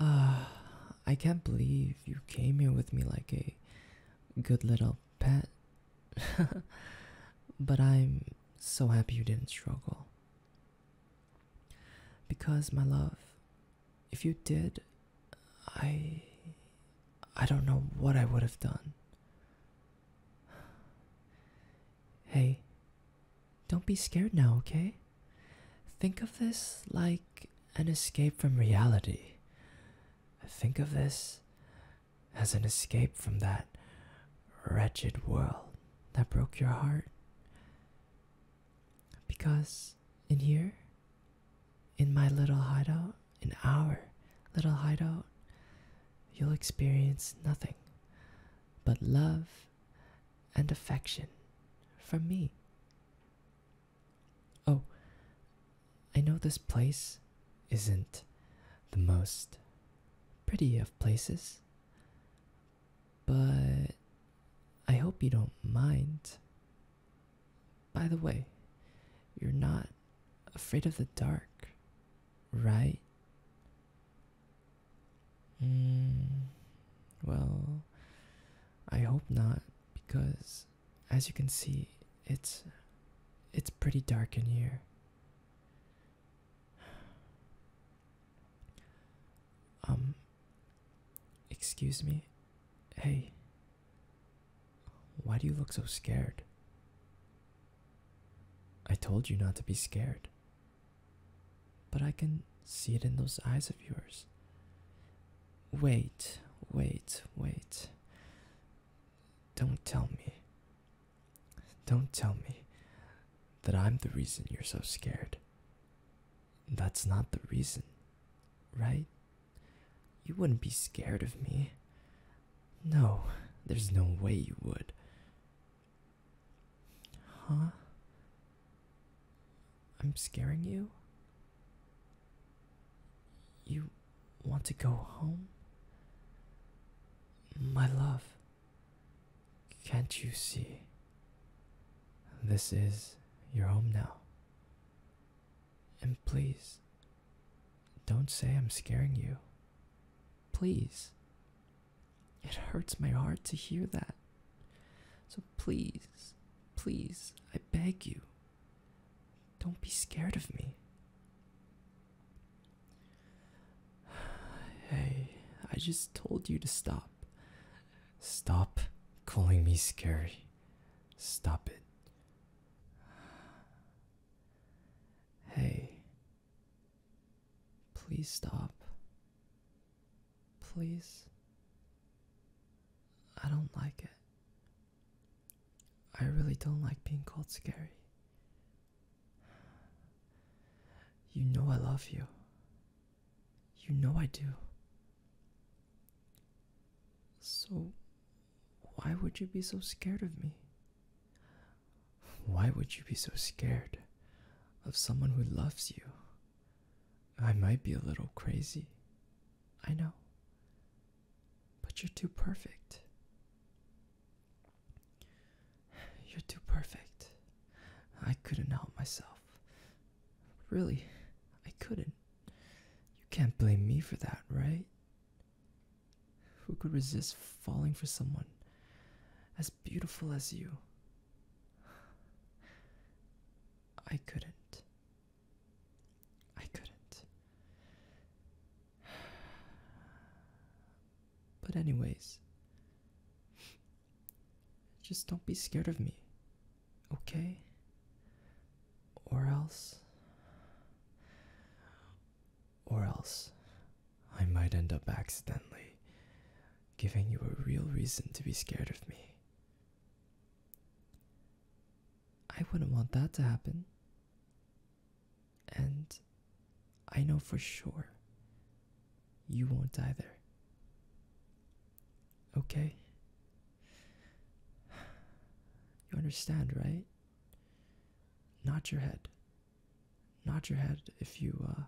Uh, I can't believe you came here with me like a good little pet. but I'm so happy you didn't struggle. Because, my love, if you did, I. I don't know what I would have done. Hey, don't be scared now, okay? Think of this like an escape from reality. Think of this as an escape from that wretched world that broke your heart. Because in here, in my little hideout, in our little hideout, you'll experience nothing but love and affection from me. Oh, I know this place isn't the most pretty of places, but I hope you don't mind. By the way, you're not afraid of the dark, right? Mm, well, I hope not, because as you can see, it's it's pretty dark in here. Um, excuse me. Hey, why do you look so scared? I told you not to be scared. But I can see it in those eyes of yours. Wait, wait, wait. Don't tell me. Don't tell me that I'm the reason you're so scared. That's not the reason, right? You wouldn't be scared of me. No, there's no way you would. Huh? I'm scaring you? You want to go home? My love, can't you see? This is your home now. And please, don't say I'm scaring you. Please. It hurts my heart to hear that. So please, please, I beg you, don't be scared of me. Hey, I just told you to stop. Stop calling me scary. Stop it. Hey, please stop. Please. I don't like it. I really don't like being called scary. You know I love you. You know I do. So, why would you be so scared of me? Why would you be so scared of someone who loves you? I might be a little crazy. I know. But you're too perfect. You're too perfect. I couldn't help myself. Really, I couldn't. You can't blame me for that, right? Who could resist falling for someone as beautiful as you? I couldn't. I couldn't. But, anyways, just don't be scared of me, okay? Or else. Or else, I might end up accidentally giving you a real reason to be scared of me. I wouldn't want that to happen. And I know for sure you won't die there. Okay? You understand, right? Nod your head. Nod your head if you uh,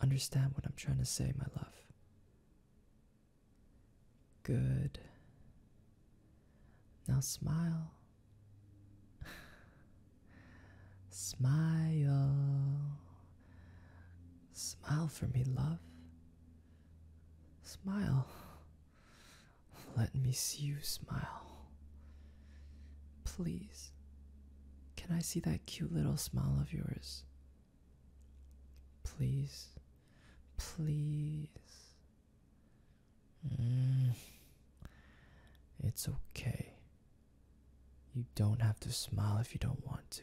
understand what I'm trying to say, my love. Good. Now smile. Smile. Smile for me, love. Smile. Let me see you smile. Please. Can I see that cute little smile of yours? Please. Please. Mm. It's okay. You don't have to smile if you don't want to.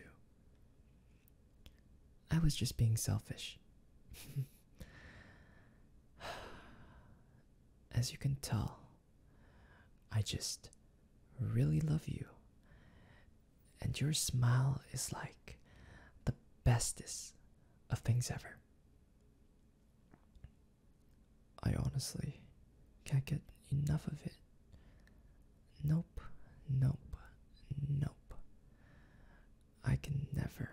I was just being selfish. As you can tell, I just really love you, and your smile is like the bestest of things ever. I honestly can't get enough of it. Nope, nope, nope. I can never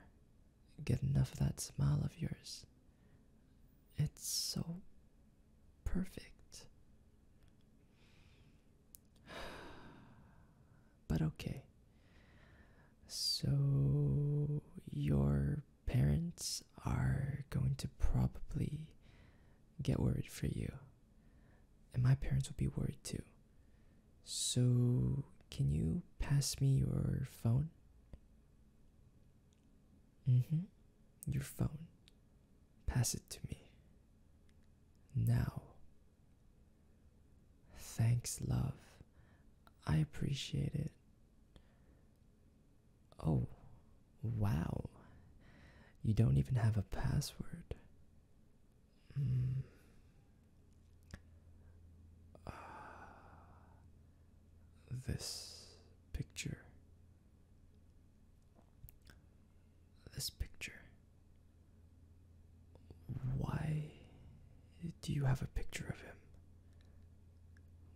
get enough of that smile of yours. It's so perfect. But okay. So, your parents are going to probably get worried for you. And my parents will be worried too. So, can you pass me your phone? Mm hmm. Your phone. Pass it to me. Now. Thanks, love. I appreciate it. Oh, wow. You don't even have a password. Mm. Uh, this picture this picture. Why do you have a picture of him?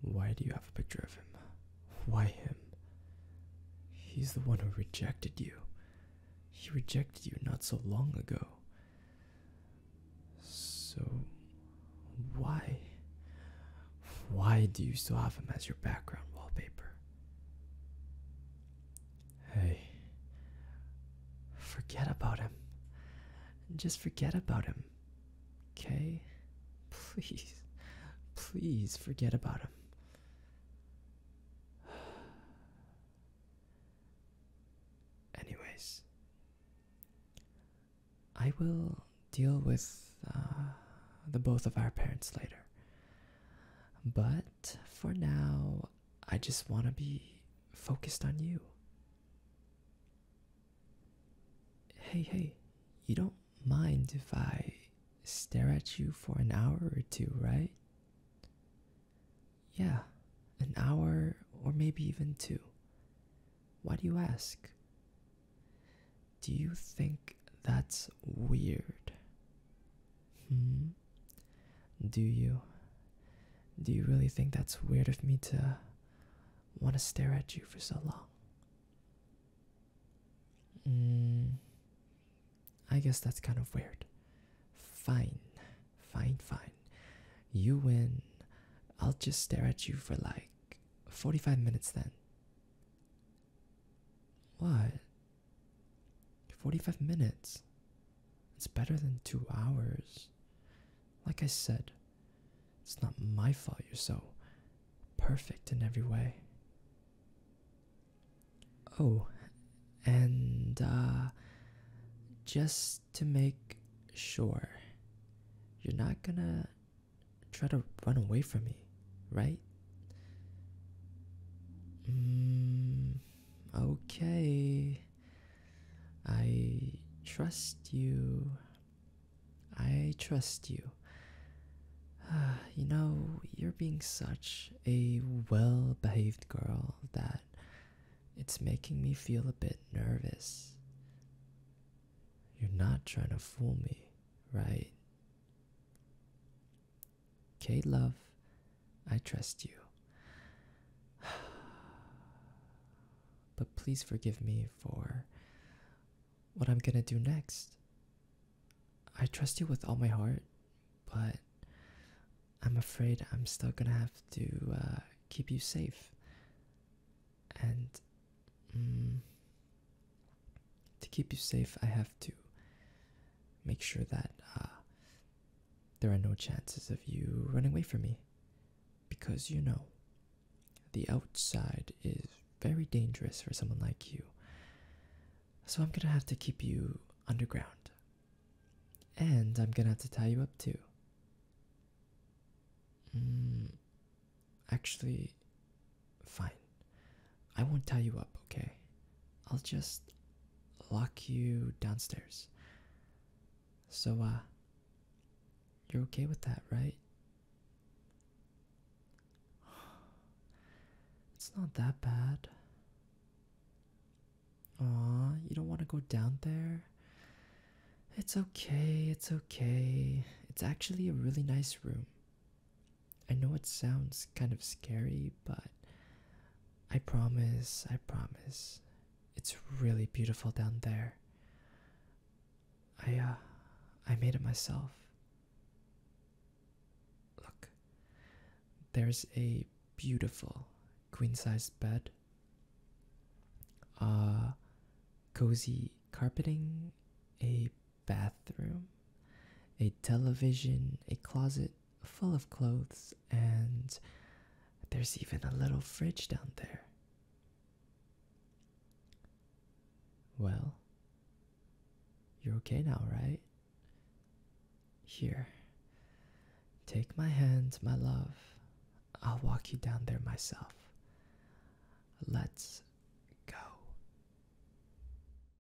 Why do you have a picture of him? Why him? He's the one who rejected you. He rejected you not so long ago. So, why? Why do you still have him as your background wallpaper? Hey. Forget about him. Just forget about him. Okay? Please. Please forget about him. Anyways, I will deal with uh, the both of our parents later. But for now, I just want to be focused on you. Hey, hey, you don't mind if I stare at you for an hour or two, right? Yeah, an hour or maybe even two. Why do you ask? Do you think that's weird? Hmm. Do you? Do you really think that's weird of me to want to stare at you for so long? Mm, I guess that's kind of weird. Fine, fine, fine. You win. I'll just stare at you for like 45 minutes then. What? 45 minutes. It's better than two hours. Like I said, it's not my fault you're so perfect in every way. Oh, and uh, just to make sure, you're not gonna try to run away from me, right? Mm, okay. I trust you. I trust you. Ah, you know, you're being such a well behaved girl that it's making me feel a bit nervous. You're not trying to fool me, right? Okay, love, I trust you. But please forgive me for what I'm gonna do next. I trust you with all my heart, but I'm afraid I'm still gonna have to uh, keep you safe. And. Mm, to keep you safe, I have to make sure that uh, there are no chances of you running away from me. Because you know, the outside is very dangerous for someone like you. So I'm gonna have to keep you underground. And I'm gonna have to tie you up too. Hmm, actually, Fine. I won't tie you up, okay? I'll just lock you downstairs. So, uh, you're okay with that, right? It's not that bad. Aw, you don't want to go down there? It's okay, it's okay. It's actually a really nice room. I know it sounds kind of scary, but I promise, I promise, it's really beautiful down there. I uh I made it myself. Look. There's a beautiful queen-sized bed. Uh cozy carpeting, a bathroom, a television, a closet full of clothes, and there's even a little fridge down there. Well, you're okay now, right? Here, take my hand, my love. I'll walk you down there myself. Let's go.